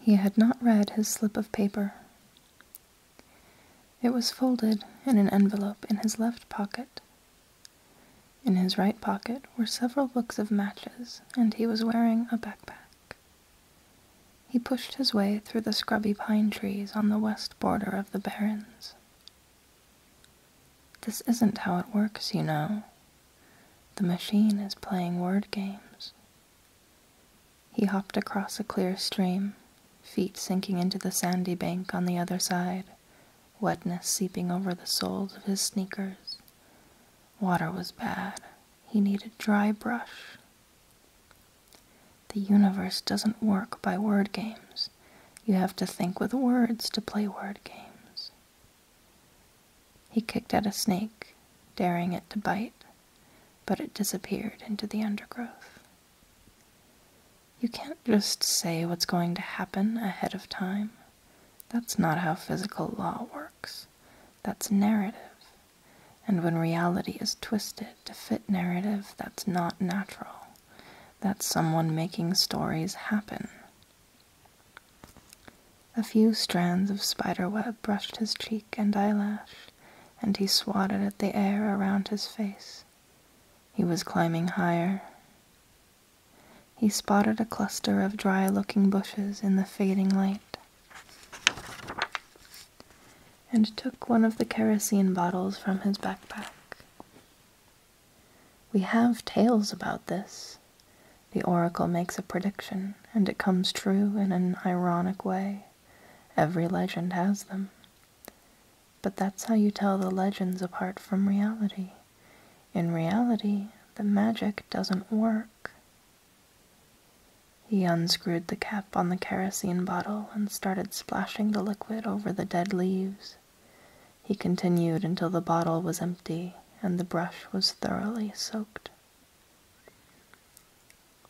He had not read his slip of paper. It was folded in an envelope in his left pocket. In his right pocket were several books of matches, and he was wearing a backpack. He pushed his way through the scrubby pine trees on the west border of the barrens. This isn't how it works, you know, the machine is playing word games. He hopped across a clear stream, feet sinking into the sandy bank on the other side, wetness seeping over the soles of his sneakers. Water was bad. He needed dry brush. The universe doesn't work by word games. You have to think with words to play word games. He kicked at a snake, daring it to bite, but it disappeared into the undergrowth. You can't just say what's going to happen ahead of time. That's not how physical law works. That's narrative. And when reality is twisted to fit narrative that's not natural, that's someone making stories happen a few strands of spider web brushed his cheek and eyelash, and he swatted at the air around his face. He was climbing higher. He spotted a cluster of dry looking bushes in the fading light and took one of the kerosene bottles from his backpack. We have tales about this. The oracle makes a prediction, and it comes true in an ironic way. Every legend has them. But that's how you tell the legends apart from reality. In reality, the magic doesn't work. He unscrewed the cap on the kerosene bottle and started splashing the liquid over the dead leaves. He continued until the bottle was empty and the brush was thoroughly soaked.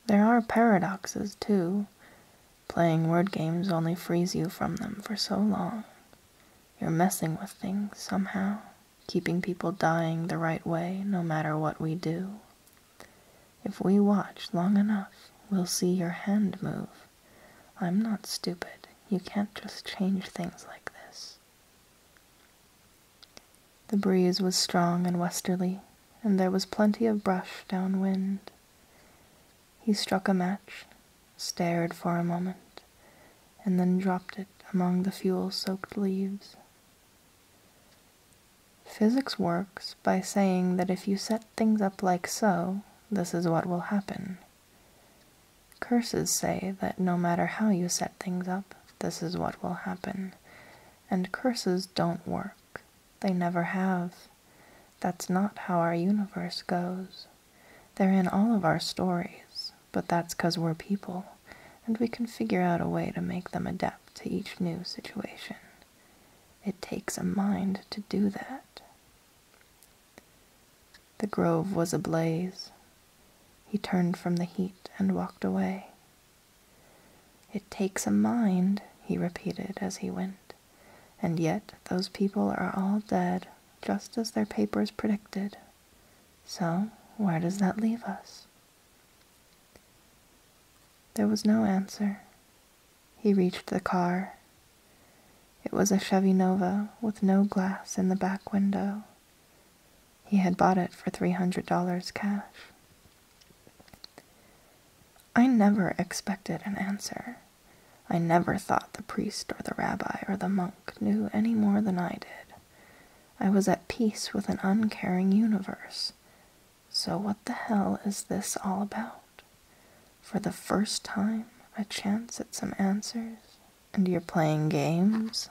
There are paradoxes, too. Playing word games only frees you from them for so long. You're messing with things somehow, keeping people dying the right way no matter what we do. If we watch long enough, we'll see your hand move. I'm not stupid. You can't just change things like this. The breeze was strong and westerly, and there was plenty of brush downwind. He struck a match, stared for a moment, and then dropped it among the fuel soaked leaves. Physics works by saying that if you set things up like so, this is what will happen. Curses say that no matter how you set things up, this is what will happen. And curses don't work. They never have. That's not how our universe goes. They're in all of our stories, but that's we're people, and we can figure out a way to make them adapt to each new situation. It takes a mind to do that. The grove was ablaze. He turned from the heat and walked away. It takes a mind, he repeated as he went, and yet those people are all dead, just as their papers predicted. So, where does that leave us? There was no answer. He reached the car it was a Chevy Nova with no glass in the back window. He had bought it for $300 cash. I never expected an answer. I never thought the priest or the rabbi or the monk knew any more than I did. I was at peace with an uncaring universe. So, what the hell is this all about? For the first time, a chance at some answers and you're playing games.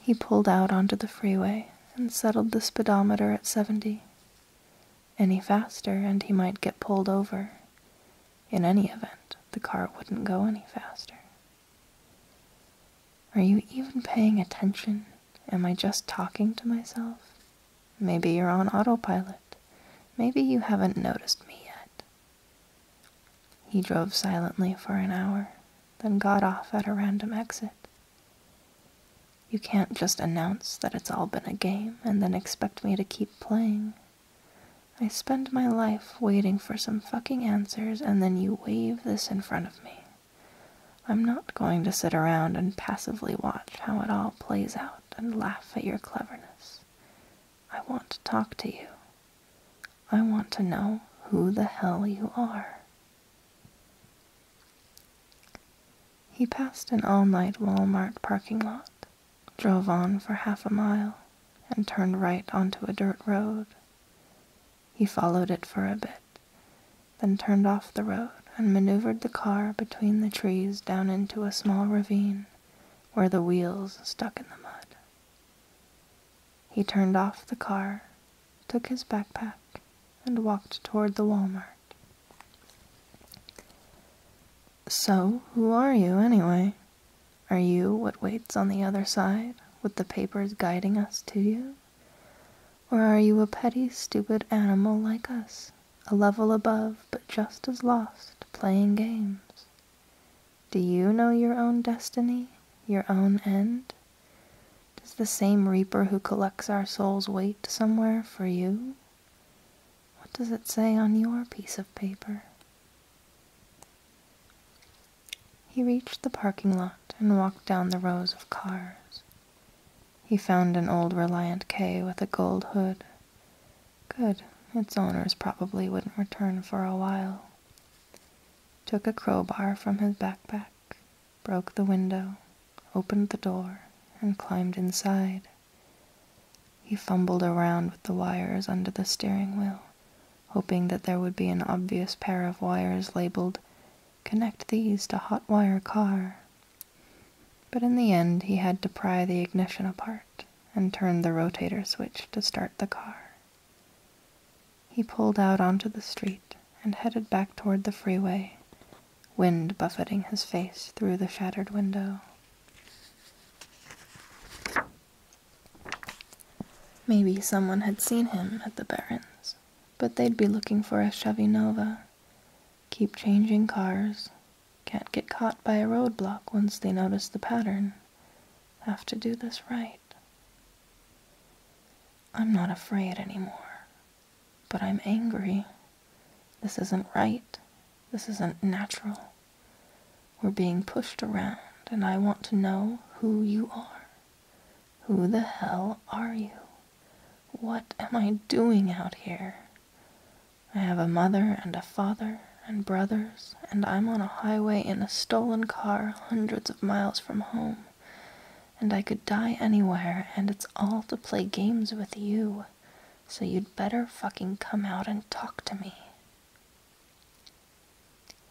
He pulled out onto the freeway and settled the speedometer at 70. Any faster, and he might get pulled over. In any event, the car wouldn't go any faster. Are you even paying attention? Am I just talking to myself? Maybe you're on autopilot. Maybe you haven't noticed me yet. He drove silently for an hour, then got off at a random exit. You can't just announce that it's all been a game and then expect me to keep playing. I spend my life waiting for some fucking answers and then you wave this in front of me. I'm not going to sit around and passively watch how it all plays out and laugh at your cleverness. I want to talk to you. I want to know who the hell you are. He passed an all night Walmart parking lot, drove on for half a mile, and turned right onto a dirt road. He followed it for a bit, then turned off the road and maneuvered the car between the trees down into a small ravine where the wheels stuck in the mud. He turned off the car, took his backpack, and walked toward the Walmart. So, who are you anyway? Are you what waits on the other side, with the papers guiding us to you? Or are you a petty, stupid animal like us, a level above, but just as lost, playing games. Do you know your own destiny, your own end? Does the same reaper who collects our souls wait somewhere for you? What does it say on your piece of paper? He reached the parking lot and walked down the rows of cars. He found an old Reliant K with a gold hood Good. Its owners probably wouldn't return for a while. Took a crowbar from his backpack, broke the window, opened the door, and climbed inside. He fumbled around with the wires under the steering wheel, hoping that there would be an obvious pair of wires labeled, Connect these to hot wire car, but in the end, he had to pry the ignition apart and turn the rotator switch to start the car. He pulled out onto the street and headed back toward the freeway, wind buffeting his face through the shattered window. Maybe someone had seen him at the Barrens, but they'd be looking for a Chevy Nova. Keep changing cars, can't get caught by a roadblock once they notice the pattern. Have to do this right. I'm not afraid anymore, but I'm angry. This isn't right. This isn't natural. We're being pushed around, and I want to know who you are. Who the hell are you? What am I doing out here? I have a mother and a father and brothers, and I'm on a highway in a stolen car hundreds of miles from home, and I could die anywhere, and it's all to play games with you, so you'd better fucking come out and talk to me.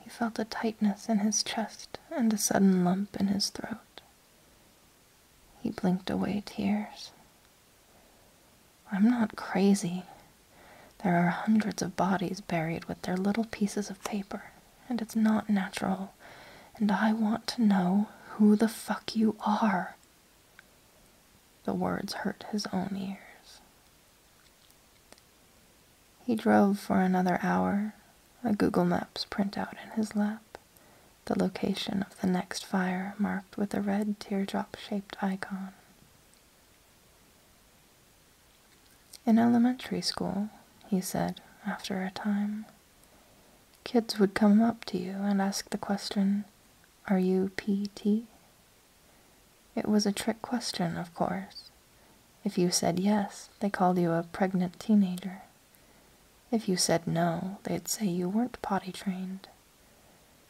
He felt a tightness in his chest and a sudden lump in his throat. He blinked away tears I'm not crazy. There are hundreds of bodies buried with their little pieces of paper, and it's not natural. And I want to know who the fuck you are. The words hurt his own ears. He drove for another hour, a Google Maps printout in his lap the location of the next fire marked with a red teardrop shaped icon. In elementary school, he said after a time, kids would come up to you and ask the question, Are you PT? It was a trick question, of course. If you said yes, they called you a pregnant teenager. If you said no, they'd say you weren't potty trained.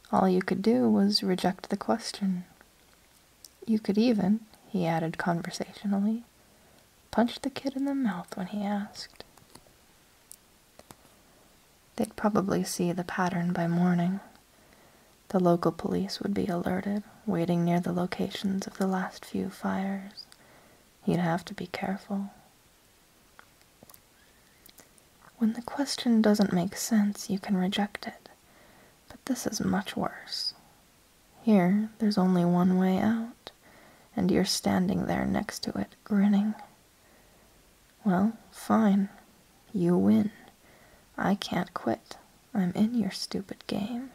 All you could do was reject the question. You could even, he added conversationally, punch the kid in the mouth when he asked. They'd probably see the pattern by morning. The local police would be alerted, waiting near the locations of the last few fires. you would have to be careful. When the question doesn't make sense, you can reject it, but this is much worse. Here, there's only one way out, and you're standing there next to it, grinning. Well, fine. You win. I can't quit. I'm in your stupid game.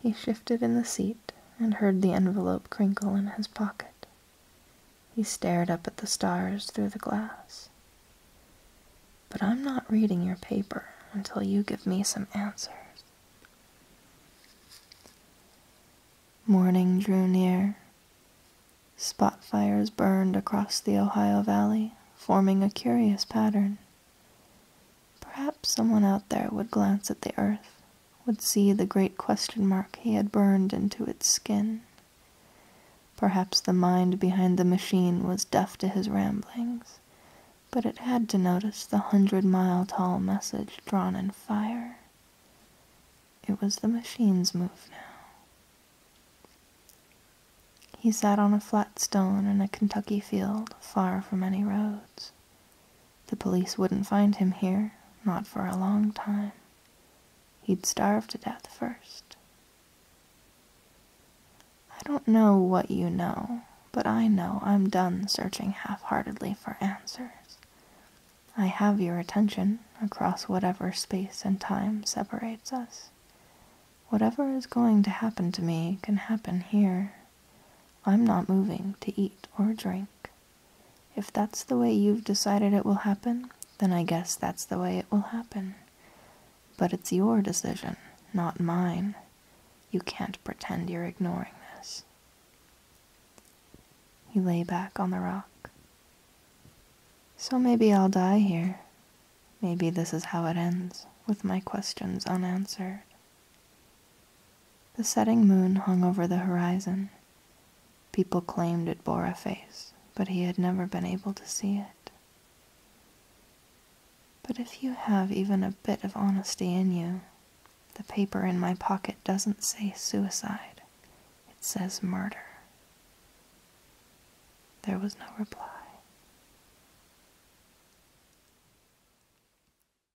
He shifted in the seat and heard the envelope crinkle in his pocket. He stared up at the stars through the glass. But I'm not reading your paper until you give me some answers. Morning drew near. Spot fires burned across the Ohio Valley, forming a curious pattern. Perhaps someone out there would glance at the earth would see the great question mark he had burned into its skin. Perhaps the mind behind the machine was deaf to his ramblings, but it had to notice the hundred mile tall message drawn in fire. It was the machine's move now. He sat on a flat stone in a Kentucky field far from any roads. The police wouldn't find him here, not for a long time. He'd starve to death first. I don't know what you know, but I know I'm done searching half heartedly for answers. I have your attention across whatever space and time separates us. Whatever is going to happen to me can happen here. I'm not moving to eat or drink. If that's the way you've decided it will happen, then I guess that's the way it will happen. But it's your decision, not mine. You can't pretend you're ignoring this. He lay back on the rock. So maybe I'll die here. Maybe this is how it ends, with my questions unanswered. The setting moon hung over the horizon. People claimed it bore a face, but he had never been able to see it. But if you have even a bit of honesty in you, the paper in my pocket doesn't say suicide, it says murder. There was no reply.